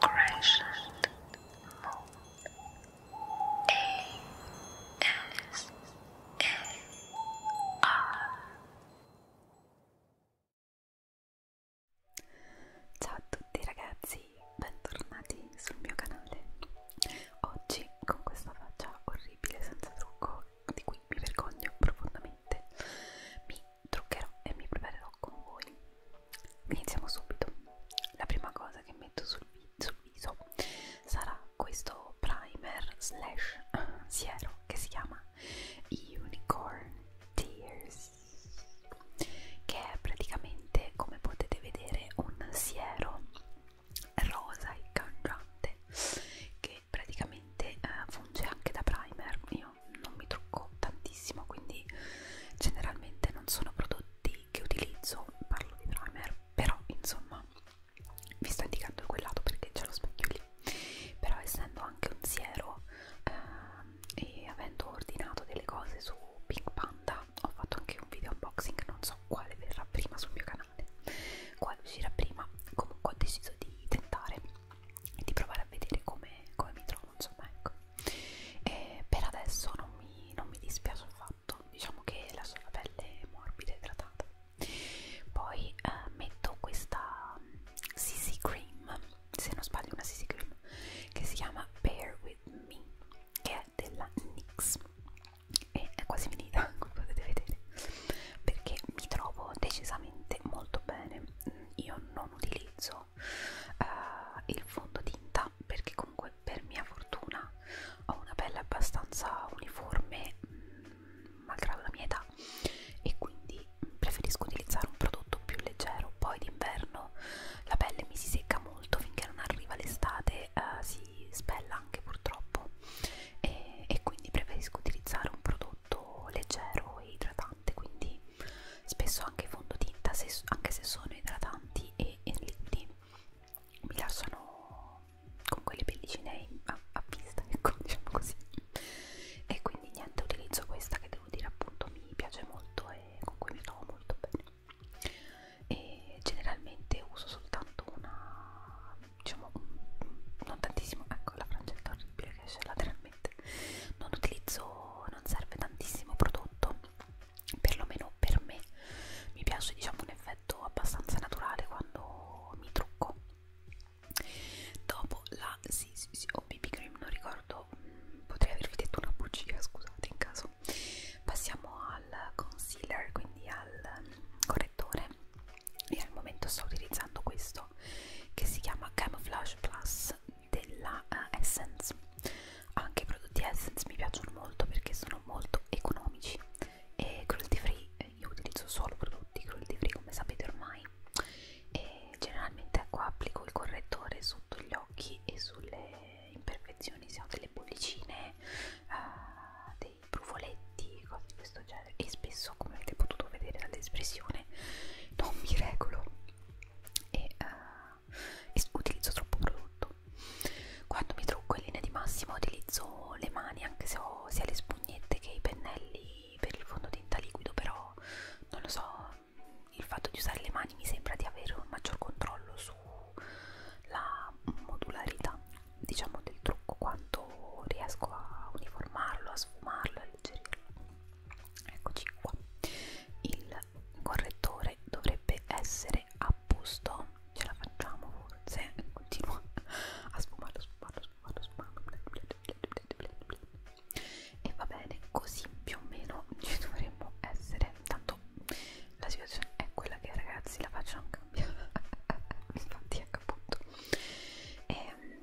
Crescent Moon A S A R Ciao a tutti ragazzi, bentornati sul mio canale. Oggi con questa faccia orribile senza trucco di cui mi vergogno profondamente sicuramente mi truccherò e mi preparerò con voi. Iniziamo subito. La prima cosa che metto sul, vi sul viso sarà questo primer slash siero che si chiama Unicorn Tears, che è praticamente, come potete vedere, un siero rosa e cangiante che praticamente eh, funge anche da primer io non mi trucco tantissimo quindi generalmente non sono prodotti che utilizzo parlo di primer però insomma vi sto indicando quel lato perché c'è lo specchio lì però essendo anche un siero eh, e avendo ordinato delle cose su Pink Panda ho fatto anche un video unboxing non so quale verrà prima sul mio canale quale uscirà prima comunque ho deciso di tentare e di provare a vedere come, come mi trovo insomma ecco e per adesso non mi, non mi dispiace affatto diciamo che la sua pelle è morbida e idratata poi eh, metto questa CC mm, cream se non sbaglio una CC cream che si chiama Bear With Me che è della NYX e è quasi finita come potete vedere perché mi trovo decisamente molto bene io non utilizzo usato eh, il fondotinta perché comunque per mia fortuna ho una pelle abbastanza uniforme mh, mm, malgrado la mia età e quindi preferisco utilizzare un prodotto più leggero poi d'inverno la pelle mi si secca molto finché non arriva l'estate eh, si spella anche purtroppo e, e quindi preferisco utilizzare un prodotto leggero e idratante idratante quindi spesso anche fondotinta se, anche se sono idratanti e, e liquidi mi lasciano con quelle pellicine a, a vista ecco diciamo così e quindi niente utilizzo questa che devo dire appunto mi piace molto e con cui mi trovo molto bene e generalmente uso soltanto una diciamo un, non tantissimo ecco la frangia è orribile che c'è la tre generalmente non utilizzo non serve tantissimo prodotto perlomeno per me mi piace diciamo un effetto abbastanza naturale quando mi trucco dopo la sì sì sì o oh, BB cream non ricordo mm, potrei avervi detto una bugia scusate in caso passiamo al concealer quindi al correttore e al momento sto utilizzando questo che si chiama Camouflage Plus della uh, Essence anche i prodotti Essence mi piacciono molto perché sono molto economici e cruelty free io utilizzo solo prodotti cruelty free come sapete ormai e generalmente qua ecco, applico il correttore sotto gli occhi e sulle imperfezioni se ho delle bollicine uh, dei brufoletti cose di questo genere e spesso come avete potuto vedere dall'espressione non mi regolo e, uh, eh, e utilizzo troppo prodotto quando mi trucco in linea di massima utilizzo le mani anche se ho sia le spugnette che i pennelli per il fondotinta liquido però non lo so il fatto di usare le mani mi sembra di avere un maggior controllo sulla modularità diciamo del trucco quanto riesco a uniformarlo a sfumarlo a alleggerirlo eccoci qua il correttore dovrebbe essere a posto ce la facciamo forse continua a sfumarlo sfumarlo sfumarlo sfumarlo e va bene così più o meno ci dovremmo essere tanto la situazione è quella che ragazzi la faccio non cambiare infatti ecco appunto e ehm,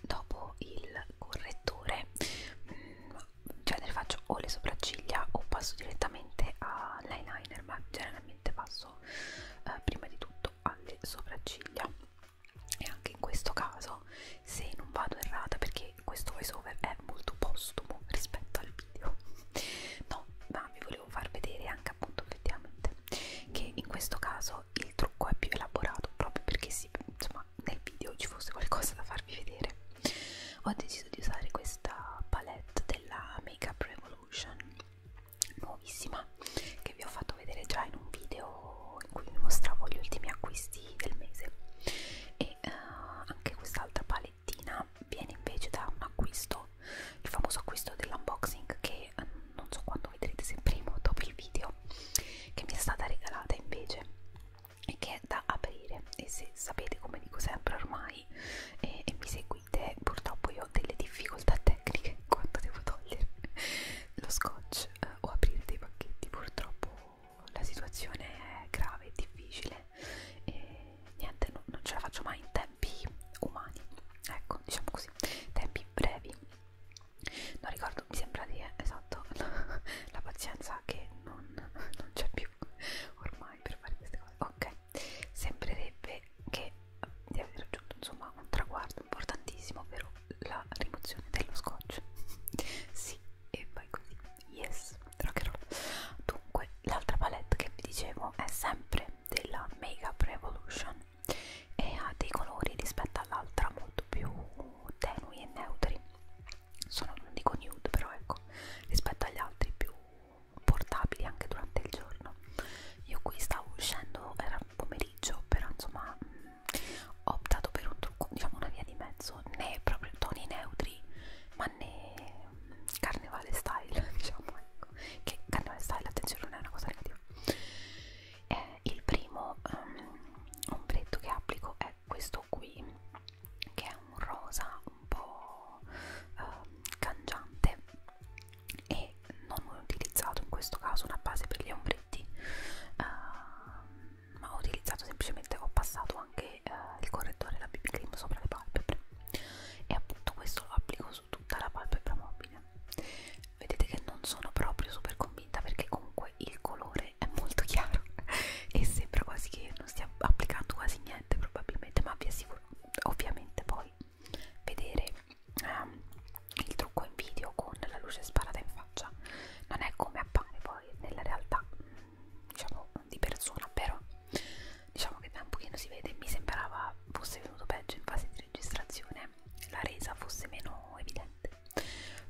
dopo il correttore mh, mm, genere cioè, faccio o le sopracciglia o passo direttamente all'eyeliner ma generalmente passo eh, prima di tutto alle sopracciglia e anche in questo caso se non vado errata perché questo voice over è molto postumo rispetto al video no ma vi volevo far vedere anche appunto effettivamente che in questo caso il trucco è più elaborato proprio perché si insomma insomma nel video ci fosse qualcosa da farvi vedere ho deciso di usare questa palette della Makeup Revolution nuovissima che vi ho fatto vedere già in un video in cui vi mostravo gli ultimi acquisti del mese e uh, anche quest'altra palettina viene invece da un acquisto il famoso acquisto dell'unboxing che uh, non so quando vedrete se prima o dopo il video che mi è stata regalata invece che è da aprire e se sapete come dico sempre ormai e, e mi seguite purtroppo io ho delle difficoltà tecniche quando devo togliere lo scotch eh, o aprire dei pacchetti purtroppo la situazione è grave e difficile e niente no, non ce la faccio mai in tempi umani ecco diciamo così tempi brevi non ricordo mi sembra di eh, esatto la, la pazienza che non non, non c'è più ormai per fare queste cose ok sembrerebbe che di aver raggiunto insomma un traguardo importantissimo ovvero la rimozione dello scotch sì e vai così yes rockerò dunque l'altra palette che vi dicevo è sempre della Makeup Revolution e ha dei colori rispetto all'altra molto più più tenui e neutri sono, non dico nude però ecco rispetto agli altri più portabili anche durante il giorno io qui stavo uscendo era pomeriggio però insomma mh, ho optato per un trucco diciamo una via di mezzo né proprio toni neutri ma né carnevale style diciamo ecco che carnevale style attenzione non è una cosa negativa eh, il primo um, ombretto che applico è è questo qui che è un rosa un po' eh, cangiante e non ho utilizzato in questo caso una base per gli ombretti eh, ma ho utilizzato semplicemente ho passato anche eh, il correttore la BB cream sopra le palpebre e appunto questo lo applico su tutta la palpebra mobile vedete che non sono proprio super convinta perché comunque il colore colore è molto chiaro e sembra quasi che non stia applicando quasi niente probabilmente ma vi assicuro ovviamente poi vedere ehm, il trucco in video con la luce sparata in faccia non è come appare poi nella realtà diciamo di persona però diciamo che da un pochino si vede mi sembrava fosse venuto peggio in fase di registrazione la resa fosse meno evidente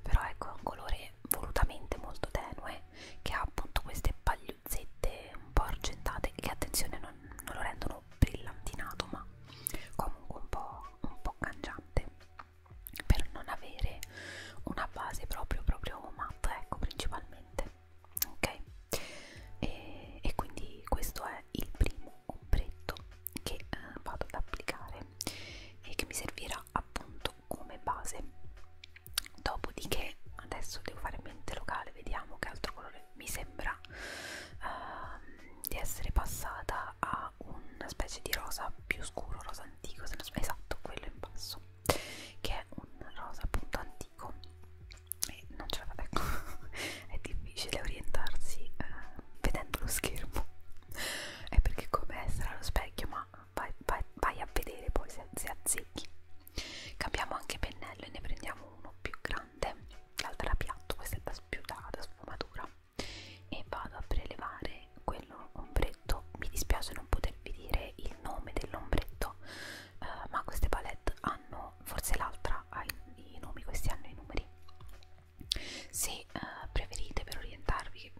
però ecco è un colore volutamente molto tenue che ha appunto queste pagliuzzette un po' argentate che attenzione non, non lo rendono brillantinato ma comunque un po', un po' cangiante per non avere una base proprio proprio matta ecco principalmente ok e, e quindi questo è il primo ombretto che eh, vado ad applicare e che mi servirà usa appunto come base dopodiché adesso devo fare mente locale vediamo che altro colore mi sembra uh, di essere passata a una specie di rosa più scuro rosa antico se non sbaglio esatto quello in basso che è un rosa appunto antico e non ce la fate ecco è difficile orientarsi eh, vedendo lo schermo è perché come essere allo specchio ma vai, vai, vai a vedere poi se, se azzecchi cambiamo anche pennello e ne prendiamo uno più grande l'altra da piatto, questa è da, più da, da sfumatura e vado a prelevare quello ombretto mi dispiace non potervi dire il nome dell'ombretto eh, ma queste palette hanno forse l'altra ha i, i nomi questi hanno i numeri se eh, preferite per orientarvi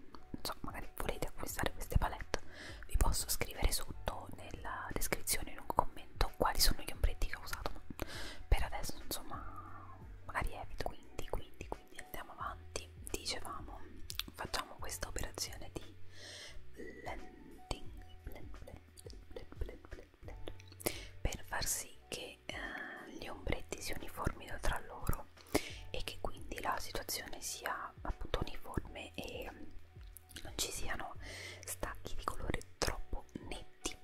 so, magari volete acquistare queste palette vi posso scrivere sotto nella descrizione in un commento quali sono gli ombretti che ho usato ma per adesso insomma magari evito quindi quindi quindi andiamo avanti dicevamo facciamo questa operazione di blending blend, blend, blend, blend, blend, blend, per far sì che eh, gli ombretti si uniformino tra loro e che quindi la situazione sia appunto uniforme e mm, non ci siano stacchi di colore troppo netti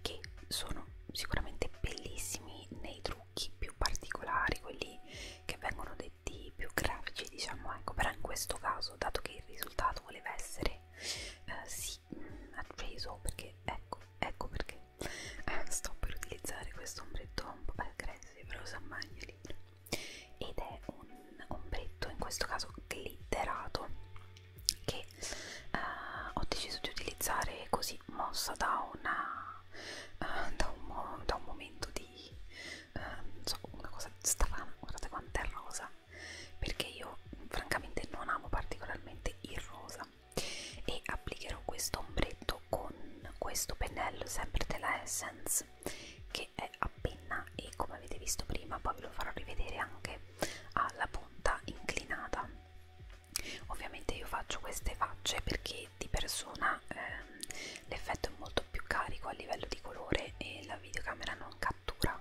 che sono sicuramente bellissimi nei trucchi più particolari quelli che vengono detti più grafici diciamo ecco però in questo caso dato che il risultato voleva essere eh, sì mm, atteso perché ecco ecco perché eh, sto per utilizzare questo ombretto un po' aggressivo però sa mai libro ed è un ombretto in questo caso glitterato che eh, ho deciso di utilizzare così mossa da una eh, da, un mo da un momento di eh, non so, una cosa strana guardate quanto è rosa perché io francamente non amo particolarmente il rosa e applicherò questo ombretto con questo pennello sempre della Essence che che è a penna e come avete visto prima poi ve lo farò rivedere anche ha la punta inclinata ovviamente io faccio queste facce perché di persona ehm, l'effetto è molto più carico a livello di colore e la videocamera non cattura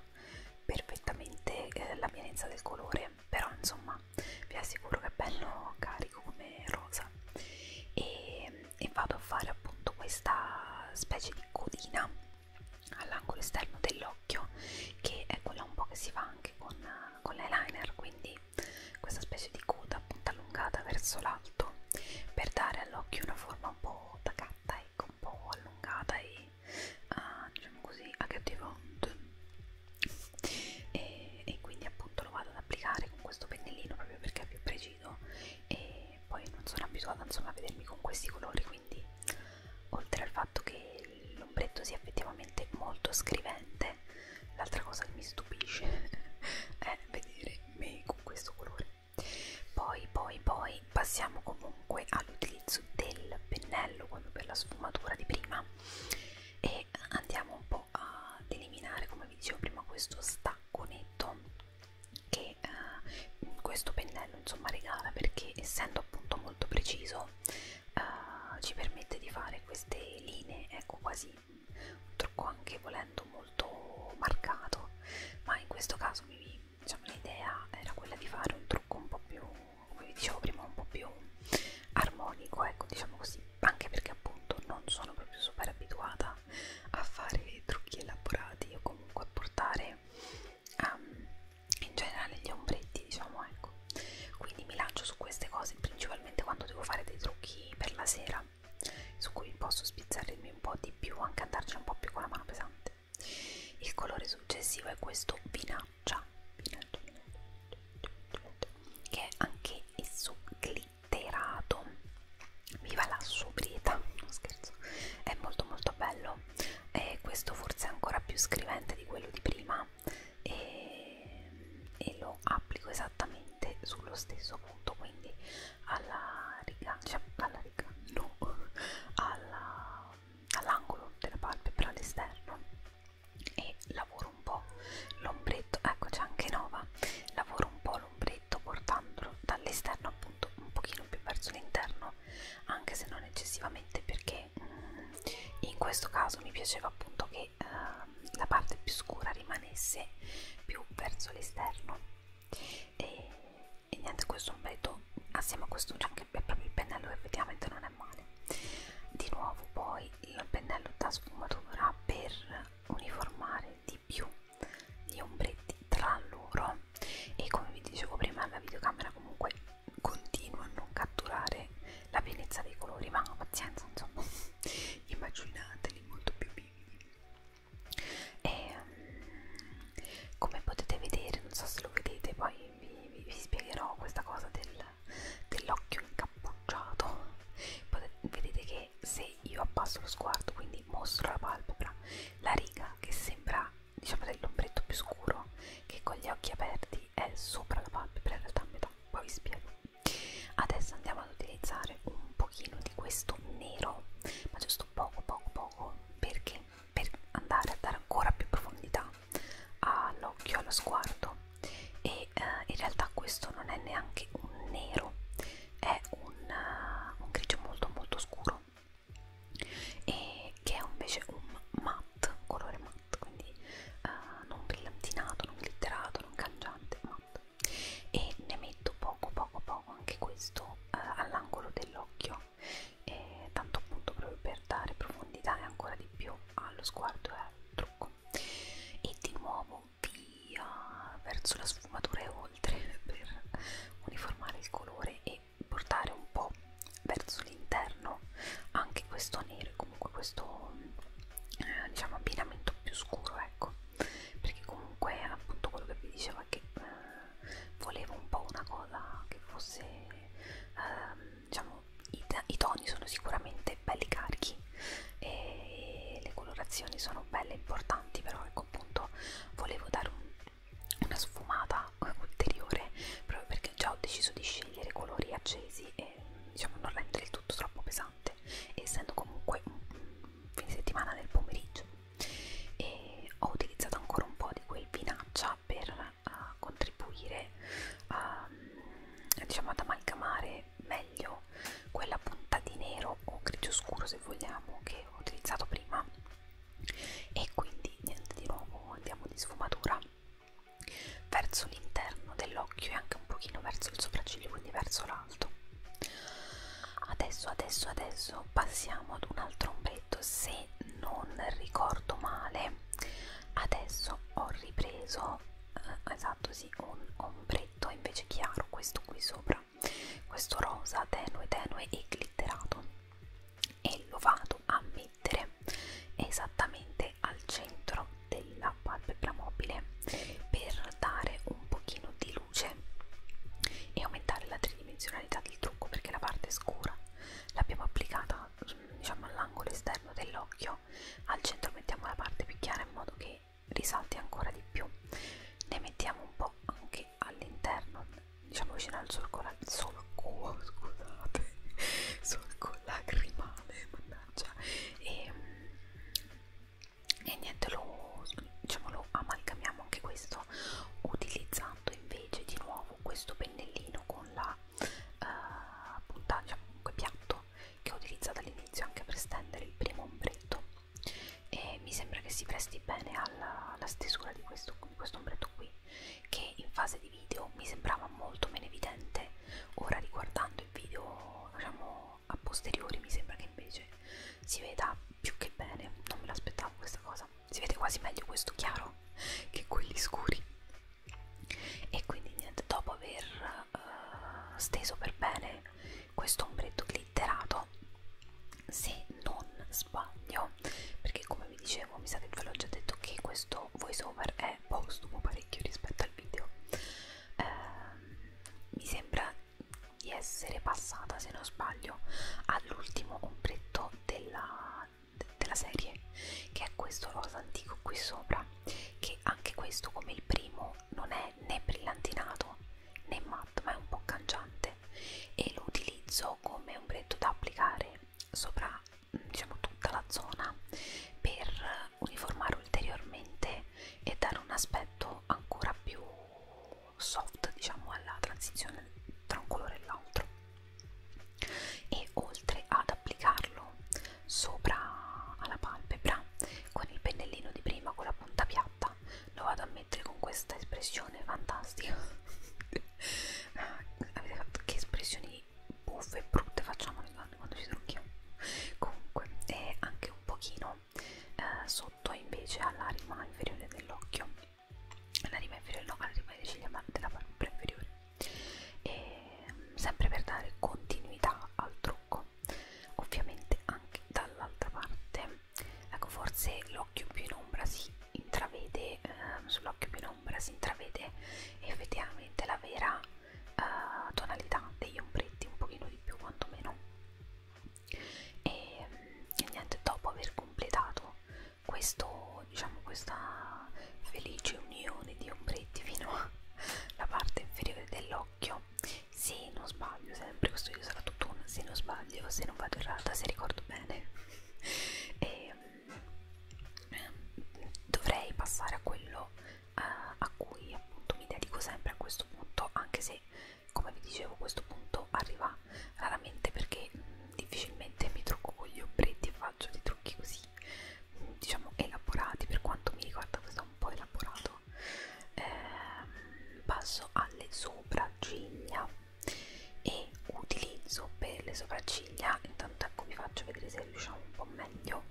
perfettamente eh, la pienezza del colore però insomma vi assicuro che è bello carico come rosa e e vado a fare appunto questa specie di codina all'angolo esterno dell'occhio che è quella un po' che si fa anche con, con l'eyeliner quindi questa specie di coda appunto allungata verso l'alto per dare all'occhio una forma un po' tacata ecco un po' allungata e uh, diciamo così agghiottivante e, e quindi appunto lo vado ad applicare con questo pennellino proprio perché è più preciso e e poi non sono abituata insomma a vedermi con questi colori quindi oltre al fatto che l'ombretto sia effettivamente molto scrivente l'altra cosa che mi stupisce è vedere me con questo colore poi poi poi passiamo comunque all'utilizzo del pennello quello per la sfumatura di prima e andiamo un po' ad eliminare come vi dicevo prima questo stacco netto che eh, questo pennello insomma regala perché essendo appunto molto preciso eh, ci permette di fare queste linee ecco quasi un trucco anche volendo molto marcato ma in questo caso mi, diciamo, l'idea era quella di fare un trucco un po' più come vi dicevo prima un po' più armonico ecco diciamo così anche perché appunto non sono proprio super abituata a fare trucchi elaborati o comunque a portare um, in generale gli ombretti diciamo ecco quindi mi lancio su queste cose principalmente quando devo fare dei trucchi per la sera su cui posso spizzarmi un po' di più anche andarci un po' più con la mano pesante il colore successivo è questo vinaccia, vinaccia, vinaccia, vinaccia, vinaccia che è anche esso glitter alterato viva la sobrietà non scherzo è molto molto bello e questo forse è ancora più scrivente di quello di prima e, e lo applico esattamente sullo stesso punto quindi alla riga cioè alla riga no all'angolo all della palpebra all'esterno e lavoro un po' l'ombretto ecco c'è anche Nova lavoro un po' l'ombretto portandolo dall'esterno appunto un pochino più verso l'interno anche se non eccessivamente perché mm, in questo caso mi piaceva appunto che eh, la parte più scura rimanesse più verso l'esterno e, e niente questo ombretto assieme a questo che è proprio il pennello effettivamente non è male di nuovo poi il pennello da sfumatura per uniformare di più gli ombretti tra loro e come vi dicevo prima la videocamera comunque continua a non catturare la pienezza dei colori ma pazienza insomma immaginateli molto più vividi e um, come potete vedere non so se lo vedete poi vi, vi, vi spiegherò questa cosa del, dell'occhio incappucciato potete, vedete che che se io abbasso lo sguardo, quindi mostro la palpebra, la riga che sembra diciamo dell'ombretto più scuro, che con gli occhi aperti è sopra la palpebra, in realtà a metà, poi vi spiego. Adesso andiamo ad utilizzare un pochino di questo nero, ma giusto poco poco poco, perché per andare a dare ancora più profondità all'occhio, allo sguardo e eh, in realtà questo non è neanche un nero è un, eh, un grigio molto molto scuro e che è invece un matte, colore matte, quindi uh, non brillantinato, non glitterato, non cangiante, matte e ne metto poco poco poco anche questo uh, all'angolo dell'occhio eh, tanto appunto proprio per dare profondità e ancora di più allo sguardo e al trucco e di nuovo vi via verso la sfumatura e oltre per uniformare il colore e portare un po' verso l'interno anche questo nero e comunque questo eh, diciamo abbinamento più scuro ecco perché comunque appunto quello che vi dicevo è che eh, volevo un po' una cosa che fosse eh, diciamo i, i toni sono sicuramente belli carichi e le colorazioni sono belle e importanti però ecco appunto volevo dare un, una sfumata ulteriore proprio perché già ho deciso di scegliere colori accesi e diciamo non rendere il tutto troppo pesante essendo comunque un fine settimana nel pomeriggio e ho utilizzato ancora un po' di quel vinaccia per uh, contribuire a, diciamo, ad amalgamare meglio quella punta di nero o grigio scuro se vogliamo che ho utilizzato prima e quindi niente di nuovo andiamo di sfumatura verso l'interno dell'occhio e anche un pochino verso il sopracciglio quindi verso l'alto adesso adesso adesso passiamo ad un altro ombretto se non ricordo male adesso ho ripreso eh, esatto sì un ombretto invece chiaro questo qui sopra sopra questo rosa tenue tenue e glitterato e lo vado a mettere esattamente al centro della palpebra mobile per dare un pochino di luce e aumentare la tridimensionalità del trucco perché la parte scura l'abbiamo applicata diciamo all'angolo esterno dell'occhio al centro mettiamo la parte più chiara in modo che risalti ancora di più ne mettiamo un po' anche all'interno diciamo vicino al solco, la, solco scusate, solco lacrimale, mannaggia, e, ehm, e niente, lo, diciamo, lo amalgamiamo anche questo utilizzando invece di nuovo questo pennellino con la uh, punta, diciamo comunque piatto che ho utilizzato all'inizio anche per stendere il primo ombretto e mi sembra che si presti bene alla, alla stesura di questo, di questo ombretto qui che in fase di video mi sembrava molto meno evidente ora riguardando il video diciamo a posteriori mi sembra che invece si veda più che bene non me l'aspettavo questa cosa si vede quasi meglio questo chiaro che quelli scuri e quindi niente dopo aver uh, steso per bene questo ombretto glitterato fatto se non sbaglio perché come vi dicevo mi sa che ve l'ho già detto che questo voiceover è postumo parecchio rispetto al video eh, mi sembra di essere passata se non sbaglio all'ultimo ombretto della, de, della serie che è questo rosa antico qui sopra che anche questo come il primo non è né brillantinato né matto ma è un po' cangiante parte e lo utilizzo come ombretto da applicare sopra diciamo tutta la zona per uniformare ulteriormente e dare un aspetto ancora più soft diciamo alla transizione tra un colore e l'altro e oltre ad applicarlo sopra alla palpebra con il pennellino di prima con la punta piatta fatta lo vado a mettere con questa espressione fantastica ah, avete fatto che espressioni buffe e brutte facciamo le donne quando ci trucchiamo comunque è anche un pochino eh, sotto invece alla rima inferiore dell'occhio alla rima inferiore no alla rima delle ciglia ma della palpebra inferiore e, mm, sempre per dare continuità al trucco ovviamente anche dall'altra parte ecco forse l'occhio più in ombra si intravede ehm, sull'occhio più in ombra si intravede effettivamente la vera eh, tonalità degli ombretti un pochino di più quantomeno e, e niente dopo aver completato questo diciamo questa felice unione di ombretti fino alla parte inferiore dell'occhio se non sbaglio sempre questo video sarà tutto un se non sbaglio se non vado errata se ricordo bene e, ehm, dovrei passare a quello eh, a cui appunto mi dedico sempre a questo punto anche se come vi dicevo questo punto arriva raramente perché mh, mm, difficilmente mi trucco con gli ombretti e faccio dei trucchi così mh, diciamo elaborati per quanto mi riguarda questo è un po' elaborato eh, passo alle sopracciglia e utilizzo per le sopracciglia intanto ecco vi faccio vedere se riusciamo un po' meglio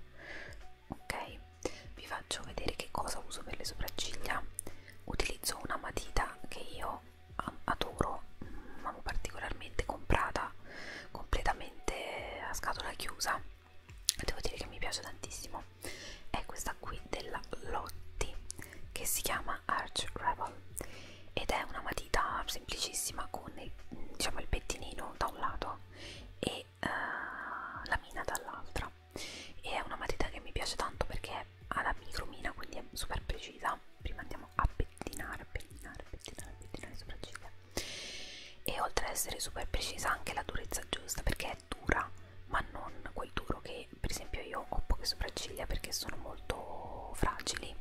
ok vi faccio vedere che cosa uso per le sopracciglia utilizzo una matita che io adoro amo particolarmente comprata completamente a scatola chiusa devo dire che mi piace tantissimo è questa qui della Lotti che si chiama Arch Rebel ed è una matita semplicissima con il, diciamo, il pettinino da un lato e uh, la mina dall'altra e è una matita che mi piace tanto perché ha la micromina quindi è super precisa prima andiamo a pettinare, a pettinare, a pettinare, a pettinare le sopracciglia e oltre ad essere super precisa anche la durezza giusta perché è dura ma non quel duro che che per esempio io ho poche sopracciglia perché sono molto fragili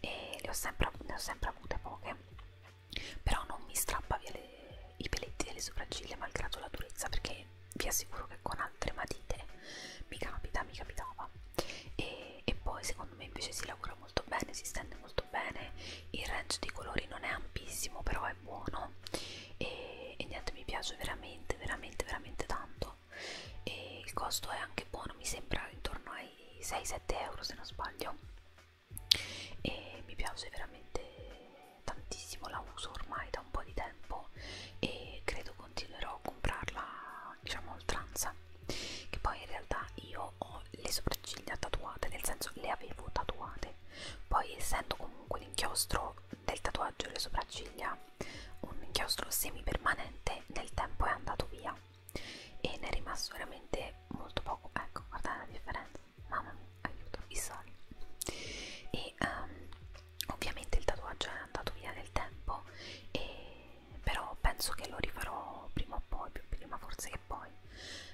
e le ho sempre, ne ho sempre avute poche però non mi strappa via le, i peletti delle sopracciglia malgrado la durezza perché vi assicuro che con altre matite mi capita, mi capitava e, e poi secondo me invece si lavora molto bene, si stende molto bene il range di colori non è ampissimo però è buono e, e niente mi piace veramente veramente veramente tanto euro e il costo è anche buono mi sembra intorno ai 6-7 euro se non sbaglio e mi piace veramente tantissimo la uso ormai da un po' di tempo e credo continuerò a comprarla diciamo oltranza che poi in realtà io ho le sopracciglia tatuate nel senso le avevo tatuate poi essendo comunque l'inchiostro del tatuaggio e le sopracciglia un inchiostro semipermanente nel tempo è andato via e ne è rimasto veramente molto poco ecco guardate la differenza mamma mia aiuto i soli e um, ovviamente il tatuaggio è andato via nel tempo e però penso che lo rifarò prima o poi più prima forse che poi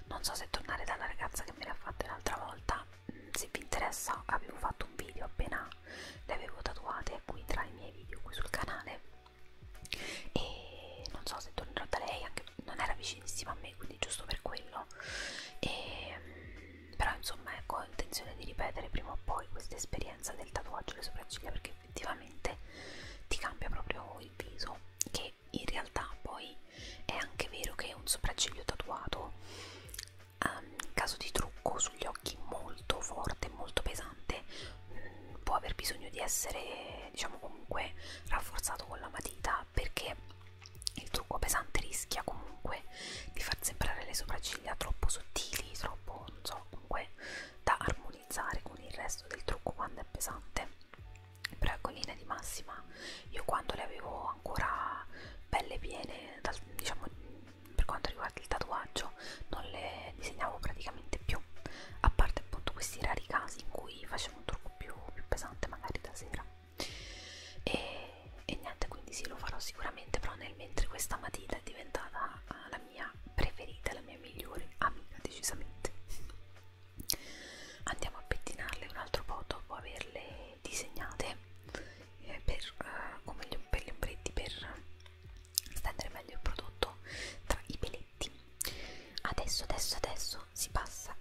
non so se tornare dalla ragazza che me l'ha fatta l'altra volta mm, se vi interessa avevo fatto un video appena le avevo tatuate qui tra i miei video qui sul canale e non so se tornerò da lei anche non era vicinissima a me quindi giusto per quello e, mm, però insomma ecco ho intenzione di ripetere prima o poi questa esperienza del tatuaggio alle sopracciglia perché effettivamente ti cambia proprio il viso che in realtà poi è anche vero che un sopracciglio tatuato ehm, in um, caso di trucco sugli occhi molto forte molto pesante interessante mh, può aver bisogno di essere diciamo comunque rafforzato con la matita perché il trucco pesante rischia comunque di far sembrare le sopracciglia troppo sottili troppo non so comunque da armonizzare con il resto del trucco quando è pesante però ecco in linea di massima io quando le avevo ancora belle piene dal, diciamo per quanto riguarda il tatuaggio non le disegnavo praticamente più a parte appunto questi rari casi in cui facevo un trucco più, più pesante magari da sera e, e niente quindi sì lo farò sicuramente però nel mentre questa matita è diventata eh, la mia preferita la mia migliore amica decisamente andiamo a pettinarle un altro po' dopo averle disegnate eh, per, eh, come gli, per gli ombretti per stendere meglio il prodotto tra i peletti adesso adesso adesso si passa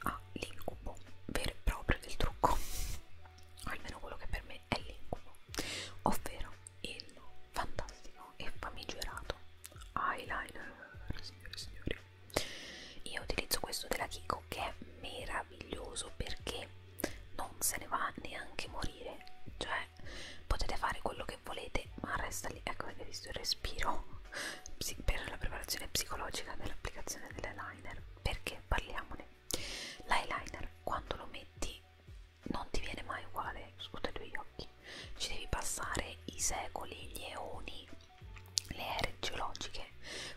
all'incubo vero e proprio del trucco almeno quello che per me è l'incubo ovvero il fantastico e famigerato eyeliner signore e signori io utilizzo questo della Kiko che è meraviglioso perché non se ne va neanche morire cioè cioè potete fare quello che volete ma resta lì ecco avete visto il respiro per la preparazione psicologica dell'applicazione dell'eyeliner perché parliamone l'eyeliner quando lo metti non ti viene mai uguale sotto i tuoi occhi ci devi passare i secoli gli eoni le ere geologiche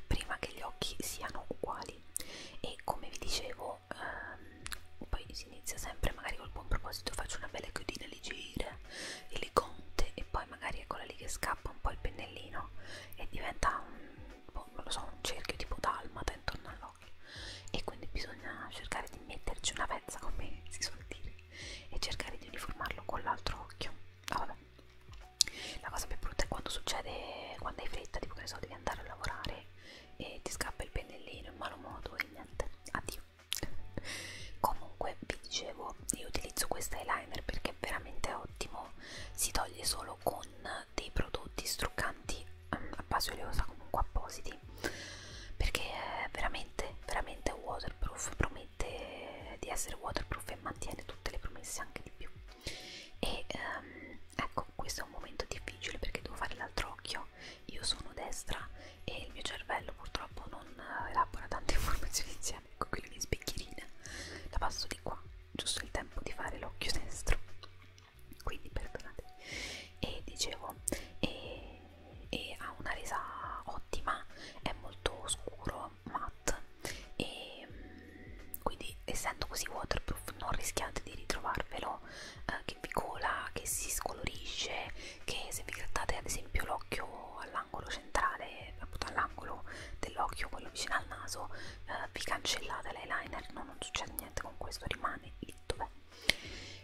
prima che gli occhi siano uguali e come vi dicevo ehm, poi si inizia sempre magari col buon proposito faccio una bella chiodina leggera e le conte e poi magari eccola lì che scappa un po' il pennellino e diventa un, boh, non lo so, un cerchio tipo dalmata intorno all'occhio e quindi bisogna cercare di metterci una pezza come si suol dire e cercare di uniformarlo con l'altro occhio ah, vabbè. la cosa più brutta è quando succede quando hai fretta tipo che ne so devi andare a lavorare e ti scappa il pennellino in malo modo e niente, addio. Comunque vi dicevo, io utilizzo questo eyeliner perché è veramente ottimo, si toglie solo con dei prodotti struccanti mm, a base oleosa comunque appositi perché è veramente, veramente waterproof, promette di essere waterproof e mantiene tutte le promesse anche di più. E um, ecco, questo è un momento difficile perché devo fare l'altro occhio io sono destra e il mio cervello purtroppo non eh, elabora tante informazioni insieme ecco qui le mie specchierine la passo di qua giusto il tempo di fare l'occhio destro quindi perdonatemi e dicevo e, e ha una resa ottima è molto scuro matte e mm, quindi essendo così waterproof non rischiate di ritrovarvelo eh, che vi cola, che si scolorisce, che se vi grattate ad esempio l'occhio all'angolo centrale, appunto all'angolo dell'occhio, quello vicino al naso, eh, vi cancellate l'eyeliner, no, non succede niente con questo, rimane lì dov'è.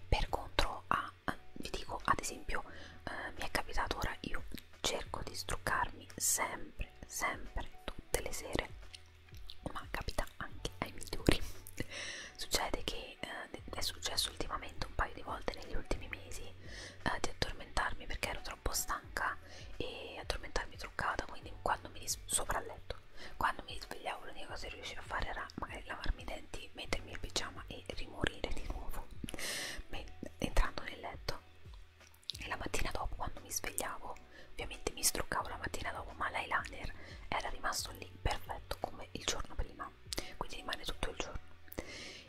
Per contro, ah, vi dico ad esempio, eh, mi è capitato ora, io cerco di struccarmi sempre, sempre, tutte le sere, ma capita anche ai migliori. Succede che eh, è successo ultimamente un paio di volte negli ultimi mesi eh, di addormentarmi perché ero troppo stanca e addormentarmi truccata, quindi quando mi sopra il letto. Quando mi svegliavo l'unica cosa che riuscivo a fare era magari lavarmi i denti, mettermi il pigiama e rimorire di nuovo entrando nel letto. E la mattina dopo quando mi svegliavo, ovviamente mi struccavo la mattina dopo, ma l'eyeliner era rimasto lì lì perfetto come il giorno prima quindi rimane tutto il giorno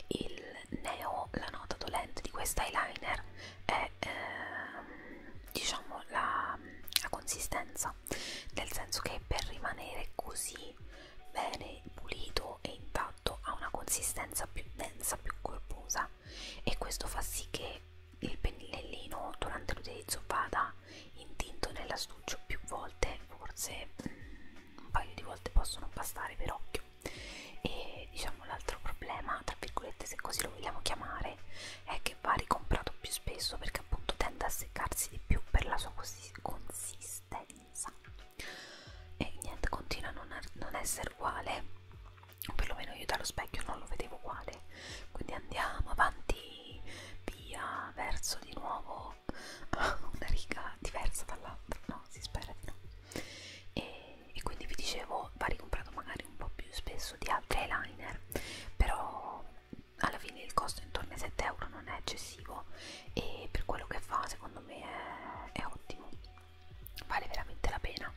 il neo la nota dolente di questo eyeliner è ehm, diciamo la, la consistenza nel senso che per rimanere così bene pulito e intatto ha una consistenza più densa più corposa e questo fa sì che il pennellino durante l'utilizzo vada intinto nell'astuccio più volte, forse mm, un paio di volte possono bastare per occhio. E diciamo l'altro problema, tra virgolette, se così lo vogliamo chiamare, è che va ricomprato più spesso perché appunto tende a seccarsi di più per la sua consistenza. E niente, continua a non, a er-, non essere uguale. O perlomeno io dallo specchio non lo vedevo uguale. Quindi andiamo avanti via verso di nuovo una riga diversa dall'altra, no? Si spera di no. E, e quindi vi dicevo, va ricomprato magari un po' più spesso di altri eyeliner, però alla fine il costo intorno ai 7 euro non è eccessivo e per quello che fa secondo me è, è ottimo vale veramente la pena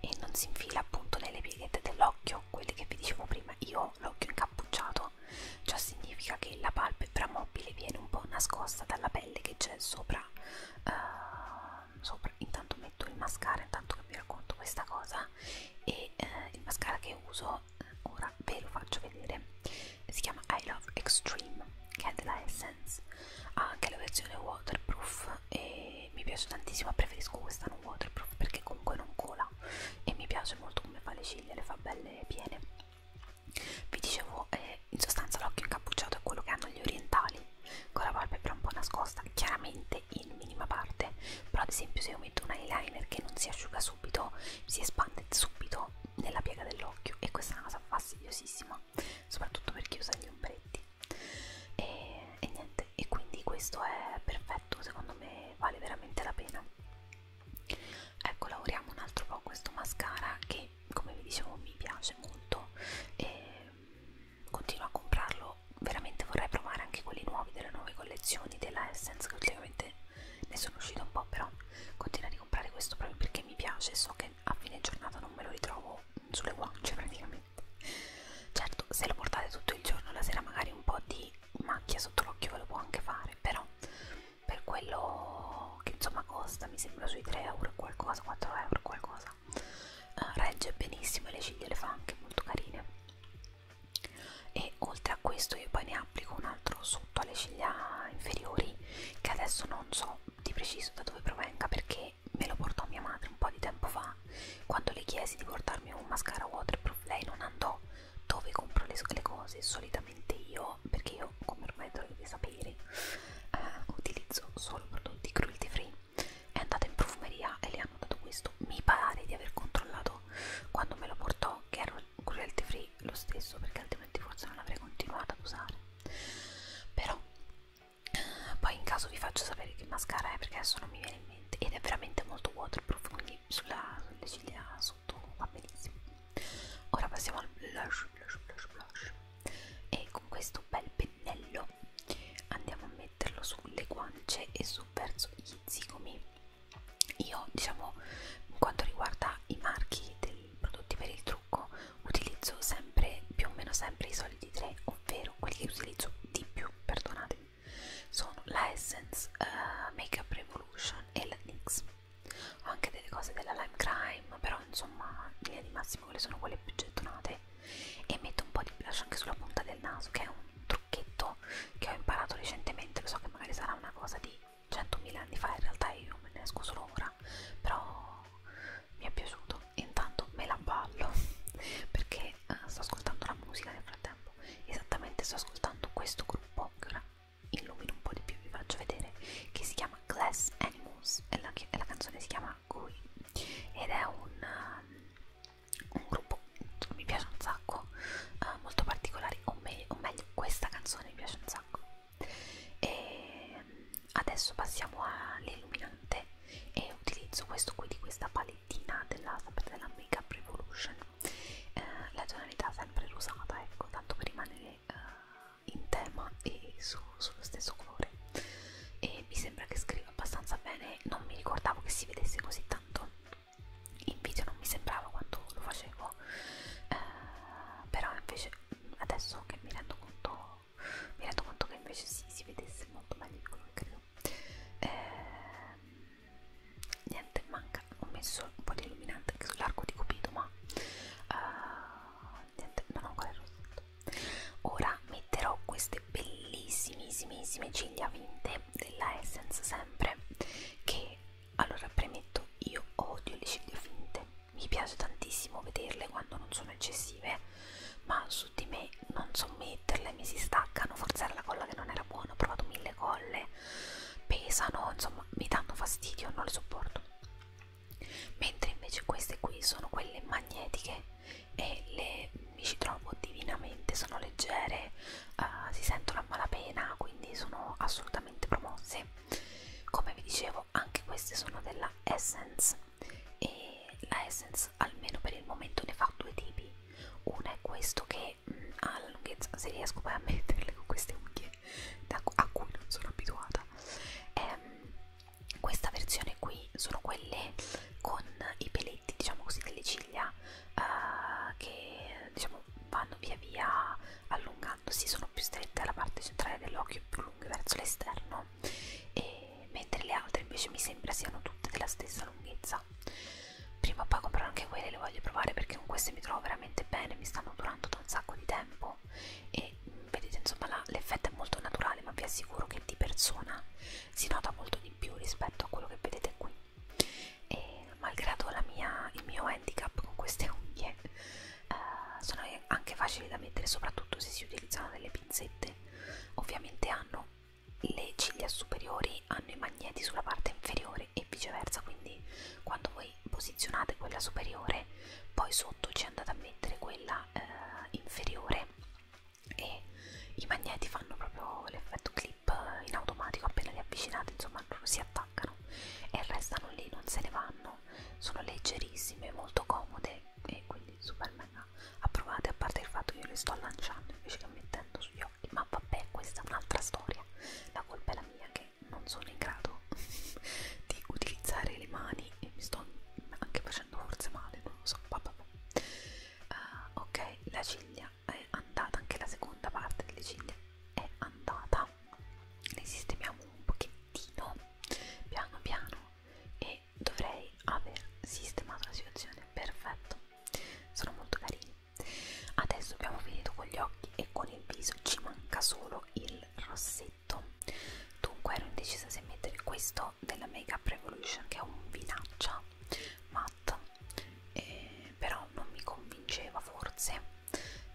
e non si infila appunto nelle pieghette dell'occhio quelli che vi dicevo prima io l'occhio incappucciato Ciò significa che la palpebra mobile viene un po' nascosta dalla pelle che c'è sopra, uh, sopra. Intanto metto il mascara, intanto che vi racconto questa cosa. E uh, il mascara che uso uh, ora ve lo faccio vedere. Si chiama I Love Extreme, che è della Essence. Ha anche la versione waterproof e mi piace tantissimo. Preferisco questa non waterproof perché comunque non cola e mi piace molto come fa le ciglia, le fa belle delle piene vi dicevo eh, in sostanza l'occhio incappucciato è quello che hanno gli orientali con la palpebra un po' nascosta chiaramente in minima parte però ad esempio se io metto un eyeliner che non si asciuga subito si espande subito nella piega dell'occhio e questa è una cosa fastidiosissima soprattutto per chi usa gli ombretti e, e niente e quindi questo è perfetto secondo me vale veramente la pena ecco lavoriamo un altro po' questo mascara che come vi dicevo mi piace molto e continuo a comprarlo veramente vorrei provare anche quelli nuovi delle nuove collezioni della Essence che ultimamente ne sono uscita un po' però continuo a ricomprare questo proprio perché mi piace so che a fine giornata non me lo ritrovo sulle guance praticamente certo se lo portate tutto il giorno la sera magari un po' di macchia sotto l'occhio ve lo può anche fare però per quello che insomma costa, mi sembra sui 3 euro qualcosa, 4 euro qualcosa. Uh, regge benissimo e le ciglia le fa anche molto carine. E oltre a questo io poi ne applico un altro sotto alle ciglia inferiori che adesso non so di preciso da dove provenga perché me lo portò mia madre un po' di tempo fa quando le chiesi di portarmi un mascara waterproof lei non andò dove compro le, le cose solitamente io perché io come ormai dovete sapere eh, utilizzo solo prodotti cruelty free è andata in profumeria e le hanno dato questo mi pare di aver controllato quando me lo portò che era cruelty free lo stesso perché altrimenti forse non l'avrei continuato ad usare però eh, poi in caso vi faccio sapere che mascara è perché adesso non mi viene in mente ed è veramente molto waterproof quindi sulla, sulle ciglia su sotto va benissimo ora passiamo al blush blush blush blush e con questo bel pennello andiamo a metterlo sulle guance e su verso gli zigomi io diciamo in quanto riguarda i marchi dei prodotti per il trucco utilizzo sempre più o meno sempre i soliti tre ovvero quelli che utilizzo di più perdonatemi sono la Essence uh, Makeup Revolution e la NYX ho anche delle cose della Lime Crime, però insomma, in linea di massimo quelle sono quelle più gettonate. E metto un po' di blush anche sulla punta del naso, che è un trucchetto che ho imparato recentemente. Lo so che magari sarà una cosa di 100.000 anni fa, in realtà io me ne esco solo ora, però mi è piaciuto. Intanto me la ballo perché uh, sto ascoltando la musica nel frattempo. Esattamente sto ascoltando questo gruppo che è una illumino un po' di più, vi faccio vedere, che si chiama Glass Animals e la, e la canzone si chiama Gui ed è un, um, un gruppo che mi piace un sacco, uh, molto particolare, o, me o meglio questa canzone mi piace un sacco. E um, adesso passiamo all'illuminante e utilizzo questo qui di questa palettina della, della Makeup Revolution eh, la tonalità sempre rosata ecco tanto per rimanere eh, in tema e su, sullo stesso colore e mi sembra che scriva abbastanza bene non mi ricordavo che si vedesse così tanto in video non mi sembrava quando lo facevo eh, però invece adesso che mi rendo conto mi rendo conto che invece sì, si vedesse molto meglio di quello che credo eh, niente manca ho messo un po' di illuminante anche sull'arco di cupido ma uh, niente non ho ancora il rossetto ora metterò queste bellissimissime ciglia vinte della Essence sempre che allora premetto io odio le ciglia finte mi piace tantissimo vederle quando non sono eccessive ma su di me non so metterle mi si staccano forzare la colla che non era buona ho provato mille colle perché pesano, insomma mi danno fastidio, non le sopporto. Mentre invece queste qui sono quelle magnetiche e le, mi ci trovo divinamente, sono leggere, uh, si sentono a malapena, quindi sono assolutamente promosse. Come vi dicevo, anche queste sono della Essence e la Essence almeno per il momento ne fa due tipi. Una è questo che e mh, alla lunghezza, se riesco poi a metterle con queste unghie da, a cui non sono abituata ehm, questa versione qui sono quelle con i peletti diciamo così delle ciglia eh, che diciamo vanno via via allungandosi sono più strette alla parte centrale dell'occhio più lunghe verso l'esterno e mentre le altre invece mi sembra siano tutte della stessa lunghezza prima o poi comprerò anche quelle le voglio provare perché con queste mi trovo veramente bene mi stanno durando durando da un sacco di tempo e vedete insomma l'effetto è molto naturale ma vi assicuro che di persona si nota molto di più rispetto a quello che vedete qui e malgrado la mia, il mio handicap con queste unghie eh, sono anche facili da mettere soprattutto se si utilizzano delle pinzette ovviamente hanno le ciglia superiori hanno i magneti sulla parte inferiore inferiore e viceversa quindi quando voi posizionate quella superiore poi sotto ci andate a mettere quella eh, inferiore e i magneti fanno proprio l'effetto clip in automatico appena li avvicinate insomma loro si attaccano e restano lì non se ne vanno sono leggerissime molto comode e quindi super mega approvate a parte il fatto che io le sto lanciando invece che mettendo sugli occhi ma vabbè questa è un'altra storia la colpa è la mia che perché non sono in grado di utilizzare le mani e mi sto anche facendo forse male, non lo so, vabbè. Uh, eh, ok, la ciglia è andata, anche la seconda parte delle ciglia è andata. Le sistemiamo un pochettino, piano piano, e dovrei aver sistemato la situazione. Perfetto, sono molto carini. Adesso abbiamo finito con gli occhi e con il viso, ci manca solo avevo il rossetto dunque ero indecisa se mettere questo della Make Up Revolution che è un vinaccia matte eh, però non mi convinceva forse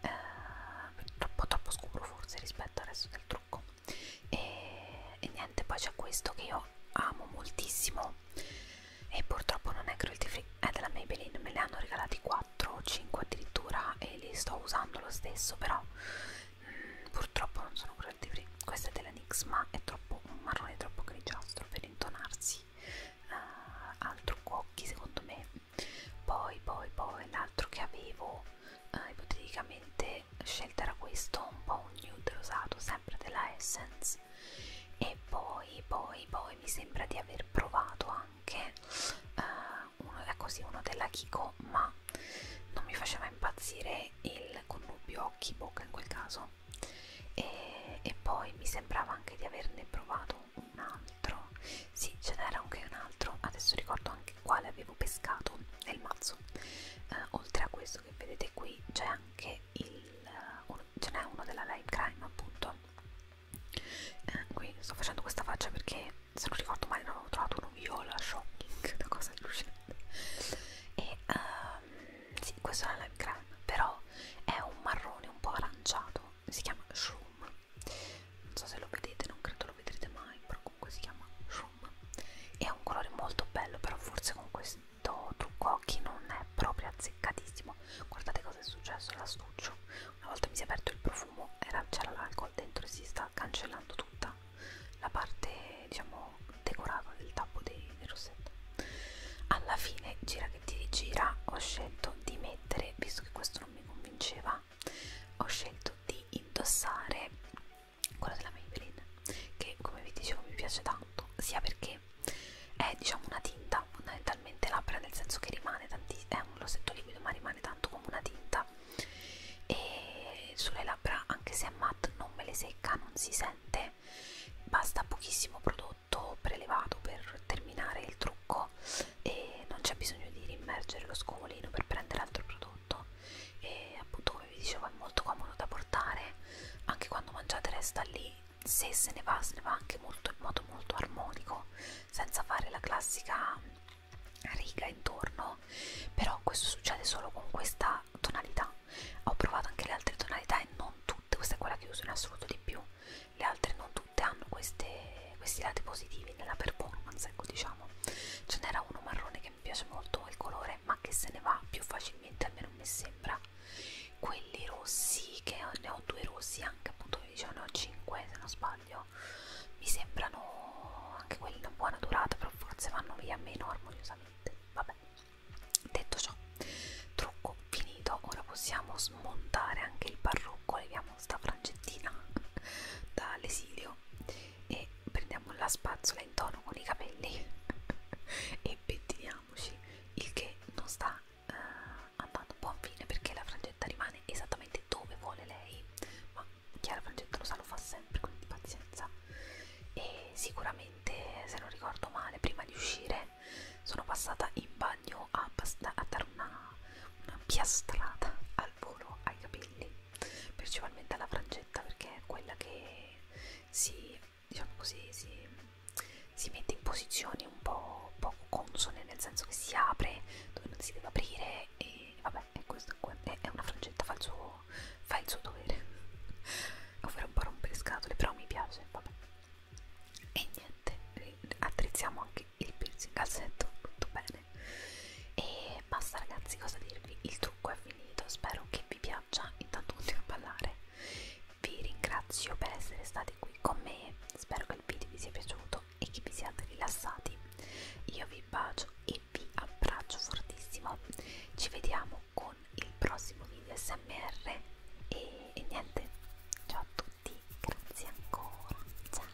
eh, troppo troppo scuro forse rispetto al resto del trucco e, e niente poi c'è questo che io amo moltissimo e purtroppo non è cruelty free è della Maybelline me le hanno regalati qua 4 o 5 addirittura e li sto usando lo stesso però mh, mm, purtroppo non sono cruelty free questa è della NYX ma è troppo un marrone troppo grigiastro per intonarsi uh, eh, al trucco occhi secondo me poi poi poi l'altro che avevo uh, ipoteticamente scelta era questo un po' un nude rosato sempre della Essence e poi poi poi mi sembra di aver provato anche uh, uno, così, uno della Kiko, ma non mi faceva impazzire il connubio occhi-bocca in quel caso. E, e poi mi sembrava anche di averne provato un altro. Sì, ce n'era anche un altro, adesso ricordo anche quale avevo pescato nel mazzo. Eh, oltre a questo che vedete qui c'è anche il, eh, un, ce n'è uno della Lime Crime appunto eh, qui sto facendo questa faccia perché se non ricordo male non avevo trovato uno viola shocking una cosa allucinante e um, sì questo è una lime crème però è un marrone un po' aranciato si chiama shroom non so se lo vedete non credo lo vedrete mai però comunque si chiama shroom è un colore molto bello però forse con questo trucco occhi non è proprio azzeccatissimo guardate cosa è successo all'astuccio una volta mi si è aperto il profumo fumo c'era l'alcol dentro e si sta cancellando tutta la parte diciamo decorata del tappo dei, del rossetto alla fine gira che ti rigira ho scelto di mettere visto che questo non mi convinceva ho scelto di indossare quello della Maybelline che come vi dicevo mi piace tanto sia perché è diciamo una tinta fondamentalmente totalmente labbra nel senso che rimane tanti, è un rossetto liquido ma rimane tanto come una tinta e sulle labbra anche se è matte non me le secca non si sente basta pochissimo prodotto prelevato per terminare il trucco e non c'è bisogno di rimergere lo scomolino per prendere altro prodotto e appunto come vi dicevo è molto comodo da portare anche quando mangiate resta lì se se ne va se ne va anche molto in modo molto armonico senza fare la classica riga intorno però questo succede solo con questa tonalità ho provato anche le altre tonalità e non tutte questa è quella che uso in assoluto di più le altre non tutte hanno queste, questi lati positivi nella performance ecco diciamo ce n'era uno marrone che mi piace molto il colore ma che se ne va più facilmente almeno mi sembra quelli rossi che ne ho due rossi anche appunto mi dicevo ne ho 5 se non sbaglio però mi sembrano anche quelli una buona durata, però forse vanno via meno armoniosamente. Vabbè, detto ciò, trucco finito. Ora possiamo smontare anche il parrucco. Leviamo sta francettina dall'esilio e prendiamo la spazzola in tono con i capelli e pettiniamoci. Il che non sta eh, andando a buon fine perché la frangetta rimane rimane esattamente dove vuole lei, ma Chiara Frangetta lo sa, lo fa sempre, quindi pazienza. E sicuramente, se non ricordo male, prima di uscire sono passata in bagno a, a dare una, una piastrata al volo ai capelli, principalmente alla Frangetta, perché è quella che si, diciamo così, si, si mette in posizioni un po' poco consone, nel senso che si apre dove non si deve aprire e e vabbè, e questo è una frangetta, fa il suo, fa il suo dovere, ovvero un po' rompere scatole, però mi piace, vabbè. E niente, attrizziamo anche il piercing al setto, tutto bene. E basta ragazzi, cosa dirvi? Il trucco è finito, spero che vi piaccia, intanto continuo a ballare. Vi ringrazio per essere stati qui con me, spero che il video vi sia piaciuto ascolto e che vi siate rilassati. Io vi bacio e vi abbraccio fortissimo. Ci vediamo con il prossimo video SMR e, e niente. Ciao a tutti, grazie ancora. Ciao.